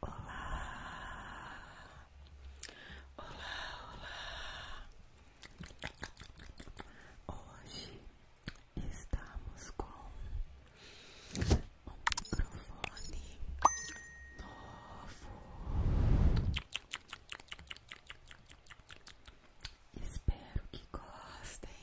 Olá, olá, olá. Hoje estamos com um microfone novo. Espero que gostem.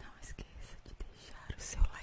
Não esqueça de deixar o seu like.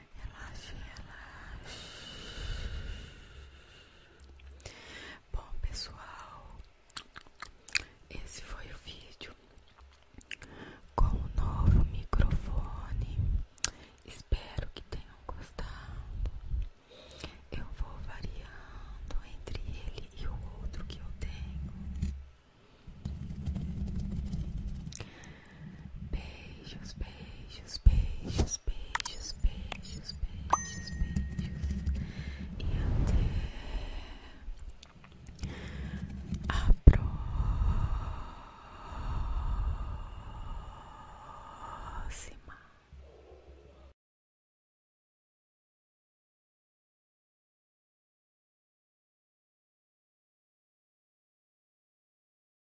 Relaxe, relaxe. Bom, pessoal, esse foi o vídeo com o novo microfone. Espero que tenham gostado. Eu vou variando entre ele e o outro que eu tenho. Beijos, beijos, beijos beijos, beijos, beijos, beijos, E até a próxima.